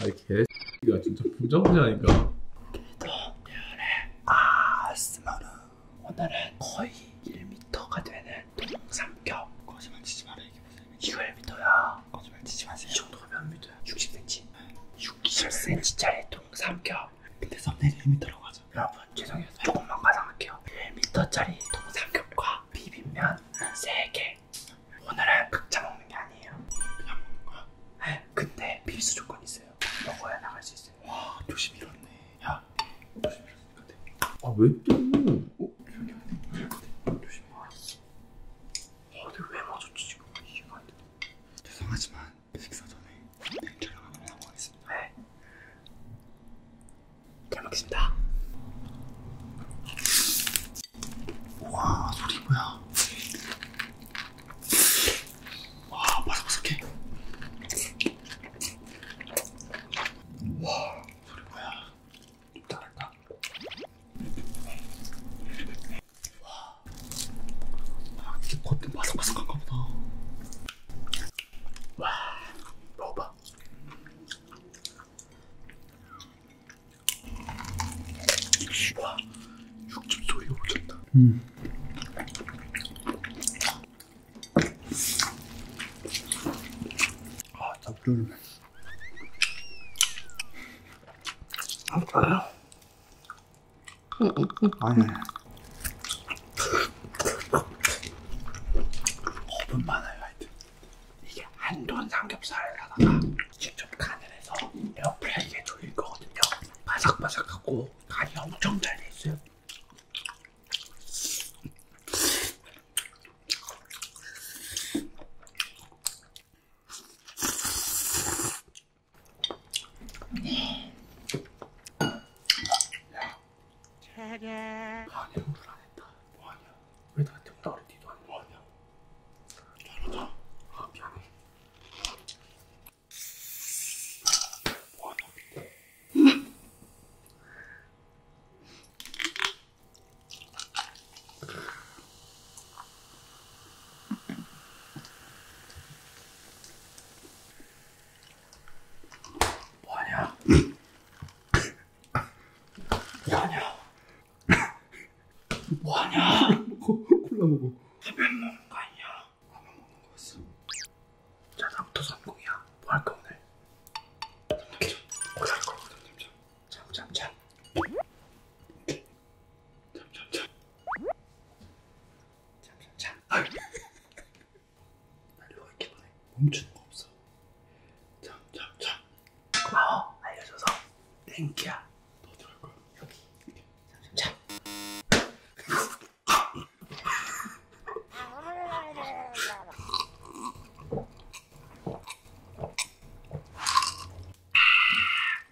아이 개가 진짜 부정자니까 길도 오늘의 아스마는 오늘은 거의 1m가 되는 동삼겹 거짓말 치지 마라 이게 무슨 이거 1m야 거짓말 치지 마세요 이 정도가 몇 m야? 60cm 10cm짜리 통 삼켜 근데 썸네일에 힘이 들어가죠 여러분 죄송해요 조금만 가상할게요 1m짜리 통 삼겹과 비빔면 3개 오늘은 각자 먹는 게 아니에요 그냥 먹는 거야? 네 근데 필수 조건이 있어요 먹어야 나갈 수 있어요 와 조심 잃었네 야 조심 잃었으니까 돼아왜 또? 어? 조심해 아 어, 근데 왜 맞았지 지금 이해가 안돼 죄송하지만 식사 전에 내일 네, 촬영하고 하겠습니다. 네. 잘 먹겠습니다. 와 소리 뭐야? 와 바삭바삭해. 와 소리 뭐야? 좀 잘할까? 와, 아, 겉은 바삭바삭한가 보다. 와, 먹어봐. 와, 육즙 소리가 오졌다. 음. 아, 나 불러주네. 아, 응, 응, 응. 아니. 오분만 하여튼 이게 한돈 삼겹살에다가 직접 간을 해서 에어프라이기에 돌릴 거거든요. 바삭바삭하고 간이 엄청 잘돼 있어요. 차례. 한영을 안 했다. 뭐하냐? 왜 나한테 따르지도 않냐? 뭐하냐? 잘하자. 아 미안해. 뭐하냐? 뭐하냐? 뭐하냐? 뭐하냐? 콜라 먹어. 담배 먹는 거 아니야? 라면 먹는 거였어. 자, 다음부터 성공이야. 뭐 할까 오늘? 잠잠. 고사할 거거든, 잠잠. 잠잠잠. 참참참 참참참 아유 난 이렇게 보내 멈추는 거 없어 참참참 고마워 알려줘서 땡큐야 더 들어갈 거야 여기 참참참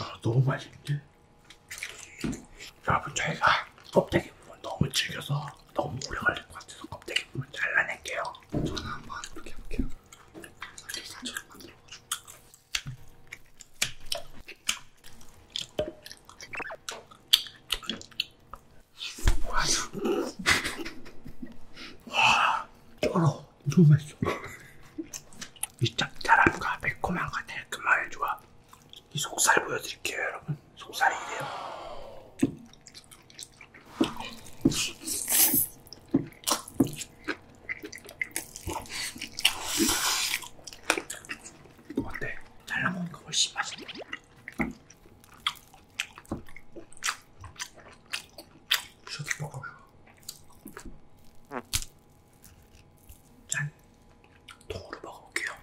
아, 너무 맛있는데? 여러분 저희가 껍데기 부분 너무 질겨서 너무 오래 걸릴 것 같아서 껍데기 부분 잘라낼게요 저는 한번 이렇게 해볼게요 사처럼 만들어가지고 와, 와, 쩔어. 너무 맛있어. 이 짭짤함과 매콤함과 달콤함의 조합. 이 속살 보여드릴게요, 여러분. 속살이 이래요. 어때? 잘라먹으니까 훨씬 맛있네. 셔츠 뻑뻑해봐 짠! 통으로 먹어볼게요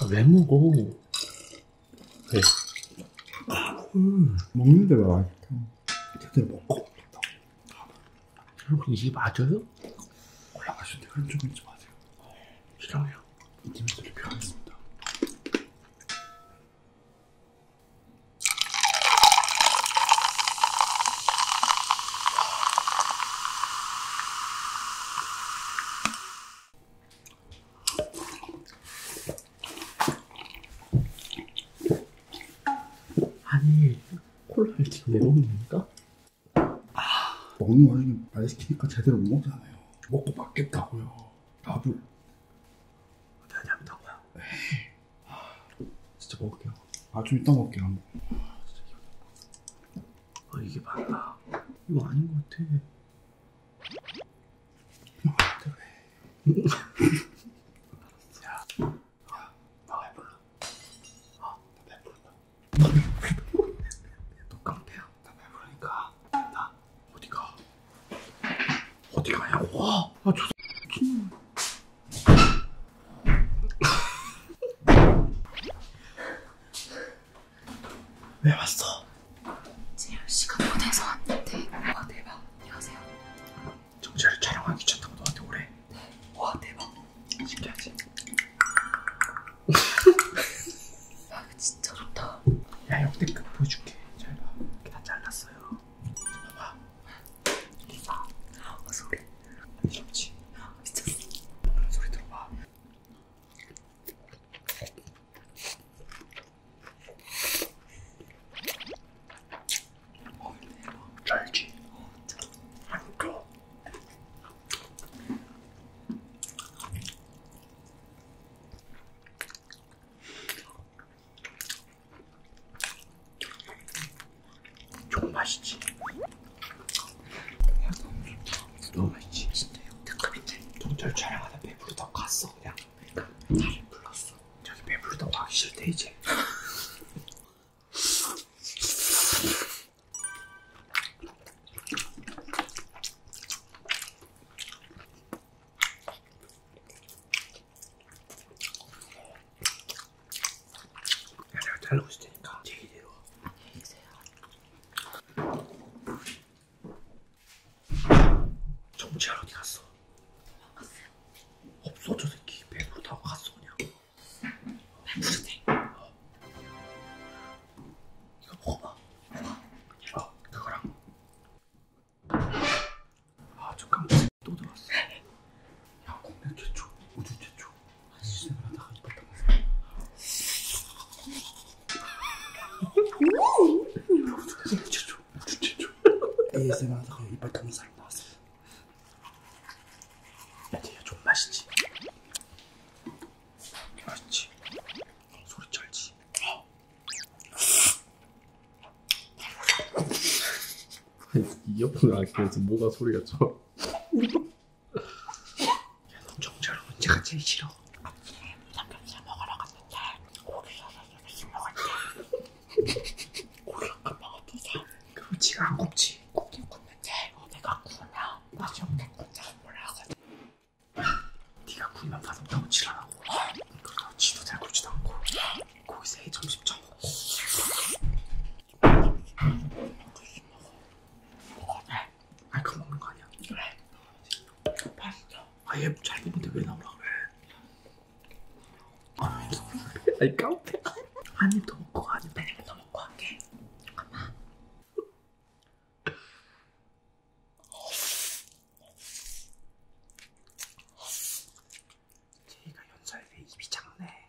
아, 왜 먹어? 왜? 음, 먹는 데가 맛있다. 제대로 먹고. 여러분 이 맞아요? 올라가실 때 흐름 좀 잊지 마세요. 싫어요. 이팀들이 필요하겠습니다. 아니 콜라를 지금 내놓는 겁니까? 아 먹는 와중에 말 시키니까 제대로 못 먹잖아요 먹고 맞겠다고요 밥을 대답한다고요? 에이 아, 진짜 먹을게요 아 좀 이따 먹을게요 한번 아, 어, 이게 맞나? 이거 아닌 것 같아. 이거 같아 왜? 야, 야, 나 배불러. 아, 나 배불러. 너 깡패야. 나 배부르니까. 나 어디 가? 어디 가냐고? 아, 저 미친놈. 왜 왔어? 재현 씨가 보내서 왔는데. 와 대박. 안녕하세요. 정재를 촬영하기 귀찮다고 너한테 오래. 네. 와 대박. 신기하지? 야 아, 이거 진짜 좋다. 야 역대급 보여줄게. 잘 봐. 이렇게 다 잘랐어요. 봐봐. 이봐. 아, 아 소리. 귀엽지? 아, 미쳤어. 소리 들어봐. 어, 대박. 잘지. 어, 진짜. 안까 좀 맛있지. 야 너무 좋다. 너무 맛있지? 진짜 역대급인데? 동철 촬영하다 배부르다 갔어 그냥. 그러니까 나를 불렀어. 저기 배부르다 와 싫대 이제. 야, 내가 잘라고 있을 테니까 제이대로 안녕히 계세요. 정지하러 어디 갔어? 도망갔어요. 없어 저 새끼 배부르다고 갔어 그냥. 배부르대. 어. 이거 먹어봐. 이거 그거랑. 아 잠깐만 또 들어왔어. 네. 야 국내 최초 우주 최초. ASMR 하다가 이빨 닦는 사람 나왔어요. 야, 쟤야, 좀 맛있지? 맛있지? 소리 쩔지? 이어폰을 안 끼워서 뭐가 소리가 쳐? 야넌 정말 언제가 제일 싫어? 아침에 삼겹살 먹으러 갔는데 고기 사서 미친 것 같아 고기 한번 먹어보자 그럼 지가 안 굽지? 굽긴 굽는데 내가 구우면 나중에 혼자 몰라거든 네가 구이만 받았다고 지랄하고 그러다 지도 잘 굽지도 않고 거기서 해 점심 처먹고 먹어 먹어 아니 그거 먹는 거 아니야? 그래 맛있어 아얘잘 먹는데 왜 나오라 그래? 아, 아니 깡패 한입 더 먹고 한입 한입 더 먹고 할게 잠깐만 제이가 연설에 입이 작네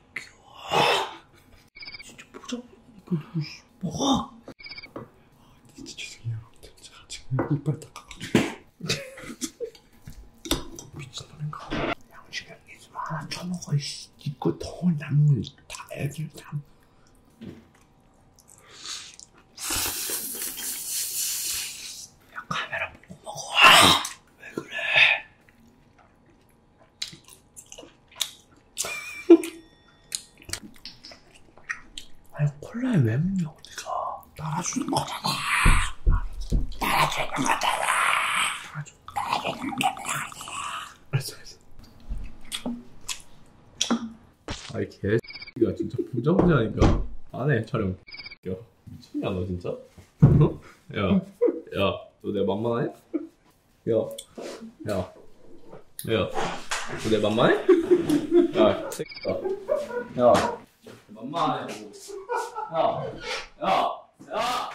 진짜 보자. 뭐가? 아, 진짜 죄송해요. 진짜 지금 이빨 닦아가지고. 미친놈인가? 양식이 있으면 하나 처먹어, 이씨. 이거 더 남은 다 애들 다. 야, 카메라 보고 먹어. 왜 그래? 아니 콜라에 왜 먹냐 우리가 따라주는 거잖아 따라주는 거잖아 따라주는 거잖아 알았어 알았어 아이 개X가 진짜 부정자니까 안 해 촬영 야 미쳤냐 너 진짜? 어? 야야너 내가 만만하냐? 야, 야, 야, 내 만만해? 야, 새끼야. 야, 만만해. 야, 야, 야.